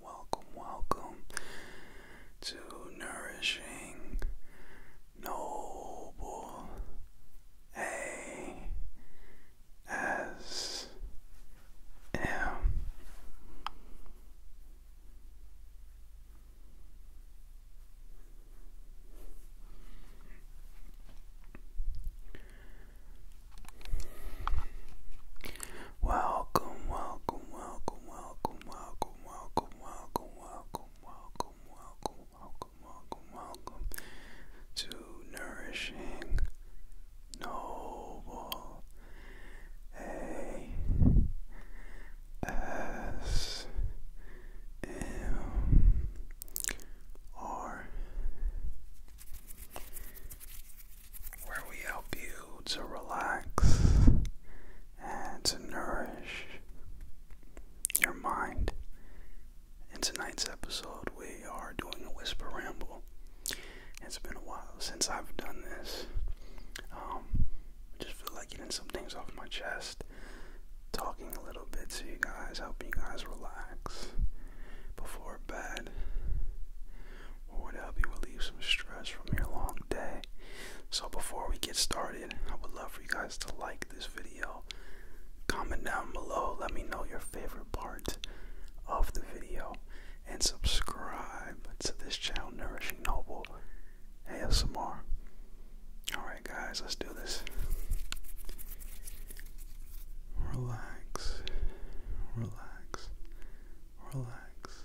welcome, welcome to Nourishing Noble A S M. Welcome, welcome, welcome, welcome welcome, welcome, welcome, welcome, welcome, welcome, welcome, welcome, welcome, to Nourishing Noble A S M R where we help you to relax and to nourish your mind. In tonight's episode, we are doing a whisper ramble. It's been a while since I've done this. Um, I just feel like getting some things off my chest, talking a little bit to you guys, helping you guys relax before bed would help you relieve some stress from your long day. So, before we get started, I would love for you guys to like this video, comment down below, let me know your favorite part of the video, and subscribe to this channel, Nourishing Noble Have some more. Alright, guys, let's do this. Relax, relax, relax,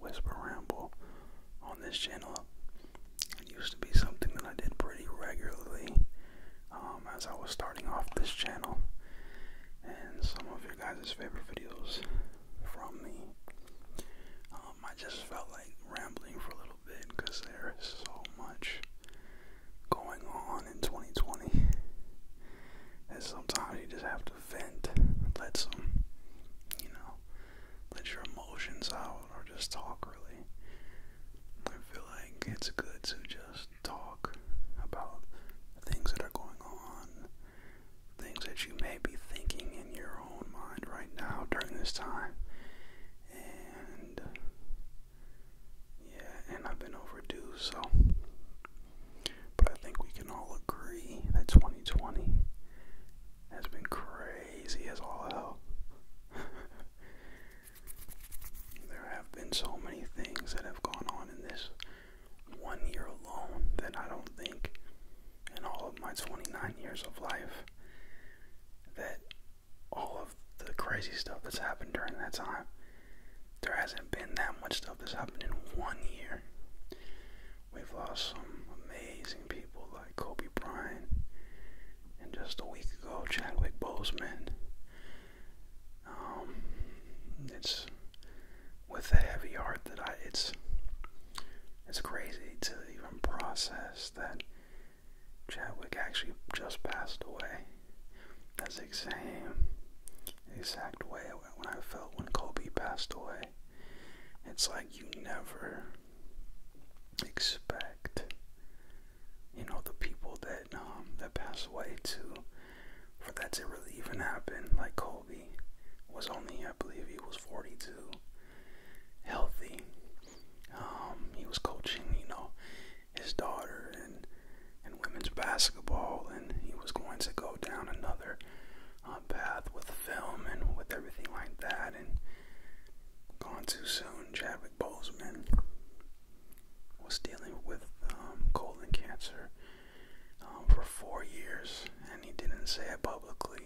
Whisper Ramble on this channel. It used to be something that I did pretty regularly um, as I was starting off this channel. And some of your guys' favorite videos from me. Um, I just felt like rambling for a little bit because there is so much going on in 2020 And sometimes you just have to vent, let some, you know, let your emotions out or just talk really. I feel like it's good to just talk about things that are going on, things that you may be thinking in your own mind right now during this time. And yeah, and I've been overdue, so but I think we can all agree that 2020 has been crazy as all hell. there have been so many things that have gone on in this one year alone that I don't think in all of my 29 years of life that all of the crazy stuff that's happened during that time there hasn't been that much stuff that's happened in one year We've lost uh, some amazing people like Kobe Bryant, and just a week ago, Chadwick Boseman. Um, it's with a heavy heart that I. It's it's crazy to even process that Chadwick actually just passed away. That's the exact way when I felt when Kobe passed away. It's like you never expect, you know, the people that um, that pass away to, for that to really even happen. Like Kobe was only, I believe, he was 42, healthy. Um, he was coaching, you know, his daughter and and women's basketball, and he was going to go down another uh, path with film and with everything like that, and gone too soon. Chadwick Boseman was dealing with um, colon cancer um, for four years, and he didn't say it publicly.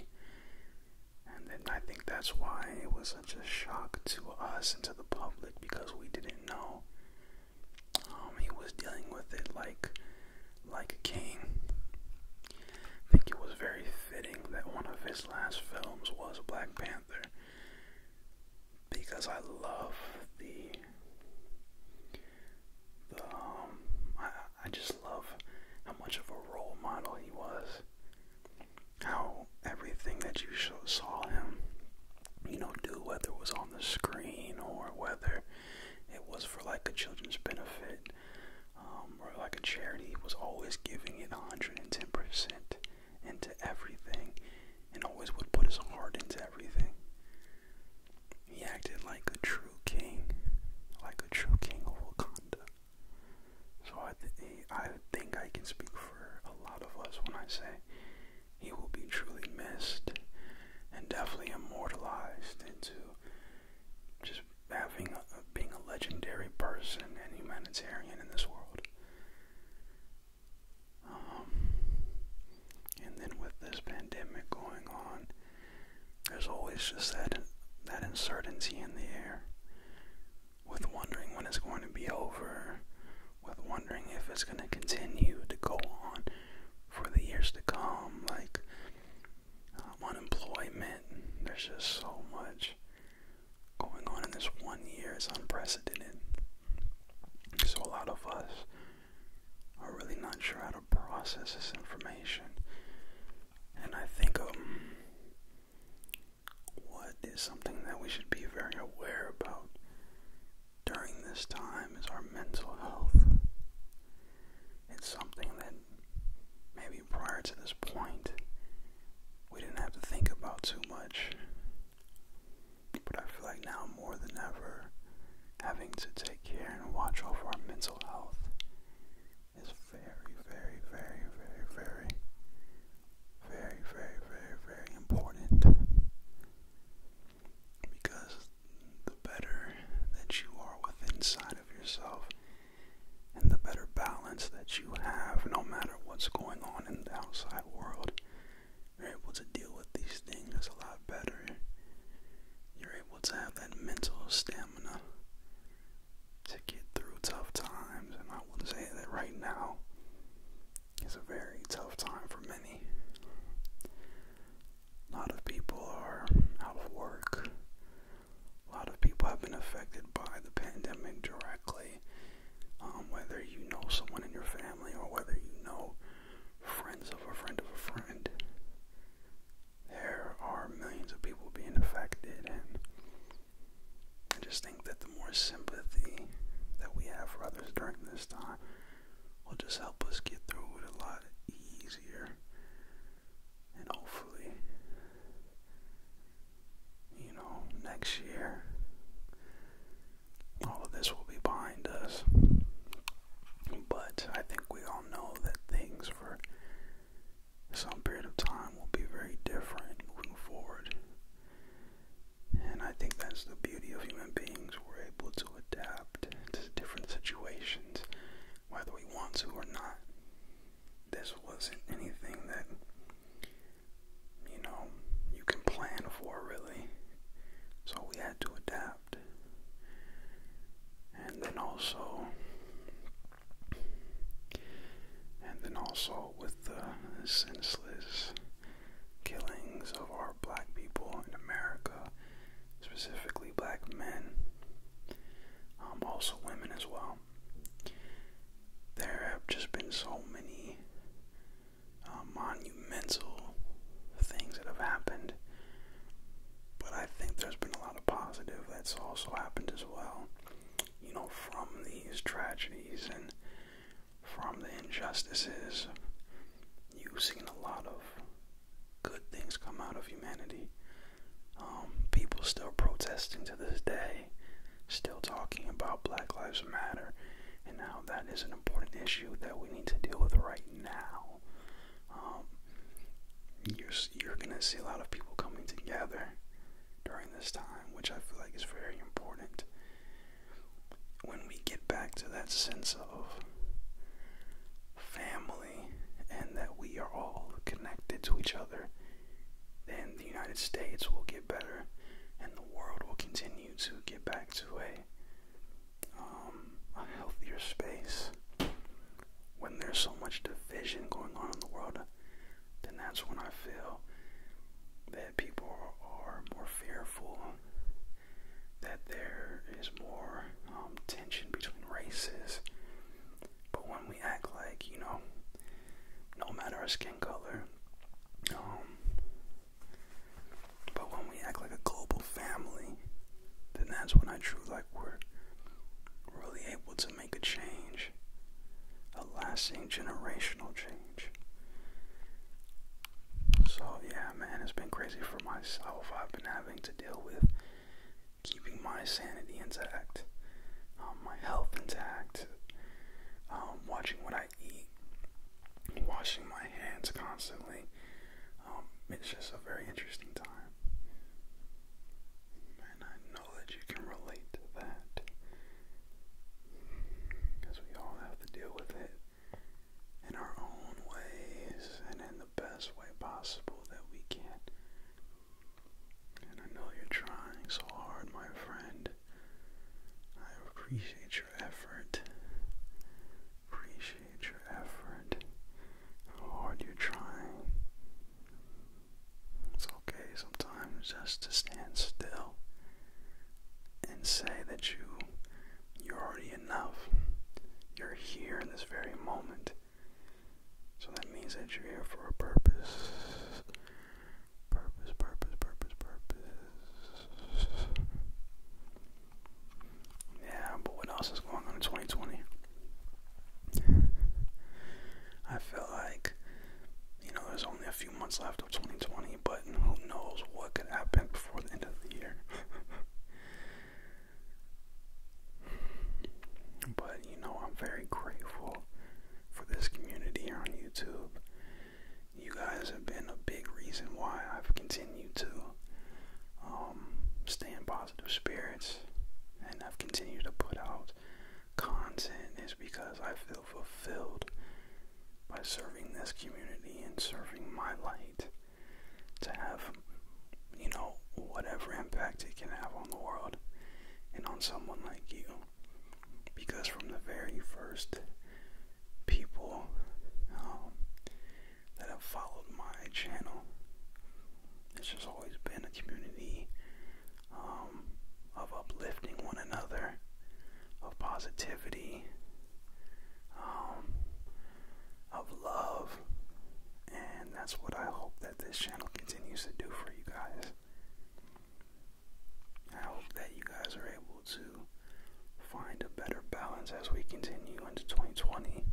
And I think that's why it was such a shock to us and to the public because we didn't know. Um, he was dealing with it like like a king. I think it was very fitting that one of his last films was Black Panther because I love the um, I I just love how much of a role model he was. How everything that you saw him, you know, do whether it was on the screen or whether it was for like a children's benefit, um, or like a charity was always giving it 110% into everything and always would put his heart into everything. He acted like a true king, like a true king of Wakanda. So I think I can speak for a lot of us when I say he will be truly missed and definitely immortalized into just having being a legendary person and humanitarian in this world. Um, and then with this pandemic going on, there's always just that that uncertainty in the air, with wondering when it's going to be over, with wondering if it's going to continue to go on for the years to come. Like, unemployment. There's just so much going on in this one year. It's unprecedented. So a lot of us are really not sure how to process this information. And I think um, what is something that we should be very aware about during this time is our mental health. It's something that maybe prior to this point we didn't have to think about too much. But I feel like now more than ever, having to take care and watch over our mental health is very, very, very, very, very, very, very, very, very important. Because the better that you are with inside of yourself and the better balance that you have no matter what's going on in the outside world. You're able to deal with these things a lot better. You're able to have that mental stamina to get through tough times, and I would say that right now is a very tough time for many. A lot of people are out of work a lot of people have been affected by the pandemic directly. Um, whether you know someone in your family or whether you know friends of a friend of a friend, there are millions of people being affected, and I just think that the more sympathy that we have for others during this time will just help us get through it a lot easier and hopefully, you know, next year, all of this will be behind us. But I think we all know that things for some period of time will be very different moving forward. And I think that's the beauty of human beings. We're able to adapt to different situations whether we want to or not. This wasn't anything that, you know, you can plan for really. So we had to adapt. And then also, and then also with the senseless killings of our black people in America, specifically black men. Um, also women as well. There have just been so many uh, monumental things that have happened, but I think there's been a lot of positive that's also happened as well. You know, from these tragedies and from the injustices, you've seen a lot of good things come out of humanity. Um, people still protesting to this day, still talking about Black Lives Matter, and now that is an important issue that we need to deal with right now. Um, you're gonna see a lot of people coming together during this time, which I feel like is very important. When we get back to that sense of family and that we are all connected to each other, then the United States will get better and the world will continue to get back to a, um, a healthier space. When there's so much division going on in the world, then that's when I feel that people are more fearful, that there is more um, tension between races, but when we act like, you know, no matter our skin color, um, but when we act like a global family, then that's when I truly like we're really able to make a change, a lasting generational change. So yeah, man, it's been crazy for myself. I've been having to deal with keeping my sanity intact, um, my health intact, um, watching what I eat, washing my hands constantly. Um, it's just a very interesting time. And I know that you can relate to that. Because we all have to deal with it in our own ways and in the best way possible that we can. And I know you're trying so hard, my friend. I appreciate your effort. Appreciate your effort. How hard you're trying. It's okay sometimes just to stand still and say that you you're already enough. You're here in this very moment. So that means that you're here for a purpose. Purpose, purpose, purpose, purpose. Yeah, but what else is going on in 2020? I feel like, you know, there's only a few months left of 2020, but who knows what could happen before the end of the year. But you know, I'm very grateful for this community here on YouTube. You guys have been a big reason why I've continued to um, stay in positive spirits and I've continued to put out content, is because I feel fulfilled by serving this community and serving my light to have you know, whatever impact it can have on the world and on someone like you. Because from the very first people um, that have followed my channel, it's just always been a community um, of uplifting one another, of positivity, um, of love, and that's what I hope that this channel continues to do for you guys. I hope that you guys are able to find a better balance as we continue into 2020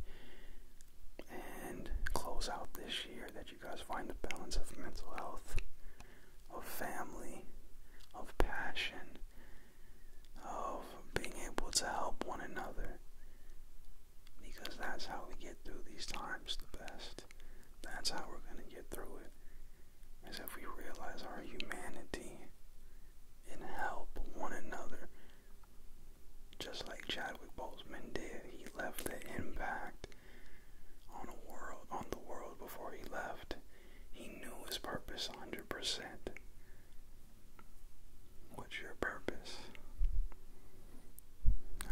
and close out this year. That you guys find the balance of mental health, of family, of passion, of being able to help one another. Because that's how we get through these times the best. That's how we're going to get through it. Is if we realize our humanity and help one another. Just like Chadwick Boseman did, he left the impact on on the world before he left. He knew his purpose 100%. What's your purpose?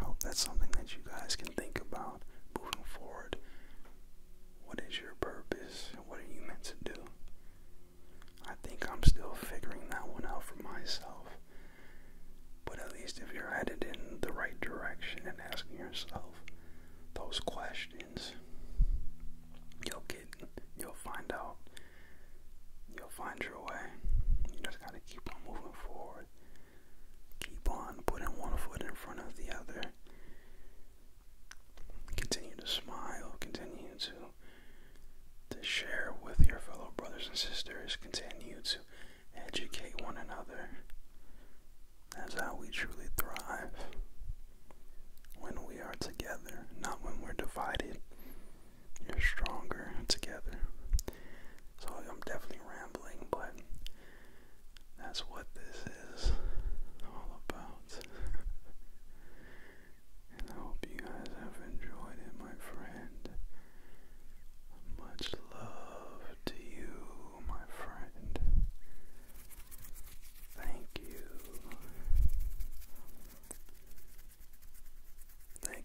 I hope that's something that you guys can think about moving forward. What is your purpose? What are you meant to do? I think I'm still figuring that one out for myself. But at least if you're headed in the right direction and asking yourself those questions, you'll get, you'll find out, you'll find your way. You just gotta keep on moving forward. Keep on putting one foot in front of the other. Continue to smile. Continue to to share with your fellow brothers and sisters. Continue to educate one another. That's how we truly thrive. When we are together, not when we're divided. You're stronger together. So I'm definitely rambling, but that's what this is all about. and I hope you guys have enjoyed it, my friend. Much love to you, my friend. Thank you. Thank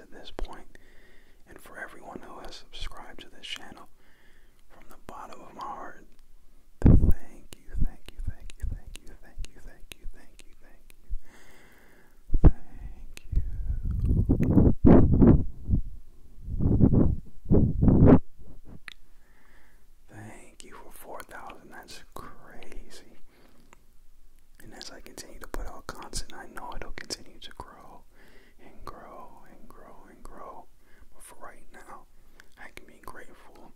at this point, and for everyone who has subscribed to this channel, from the bottom of my heart, thank you, thank you, thank you, thank you, thank you, thank you, thank you, thank you. Thank you. Thank you for 4,000. That's crazy. And as I continue to put out content, I know it'll continue to grow and grow and grow and grow. But for right now, I can be grateful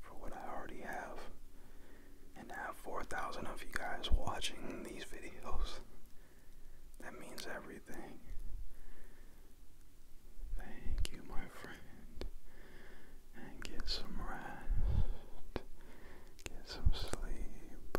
for what I already have. And to have 4,000 of you guys watching these videos, that means everything. Thank you, my friend. And get some rest, get some sleep,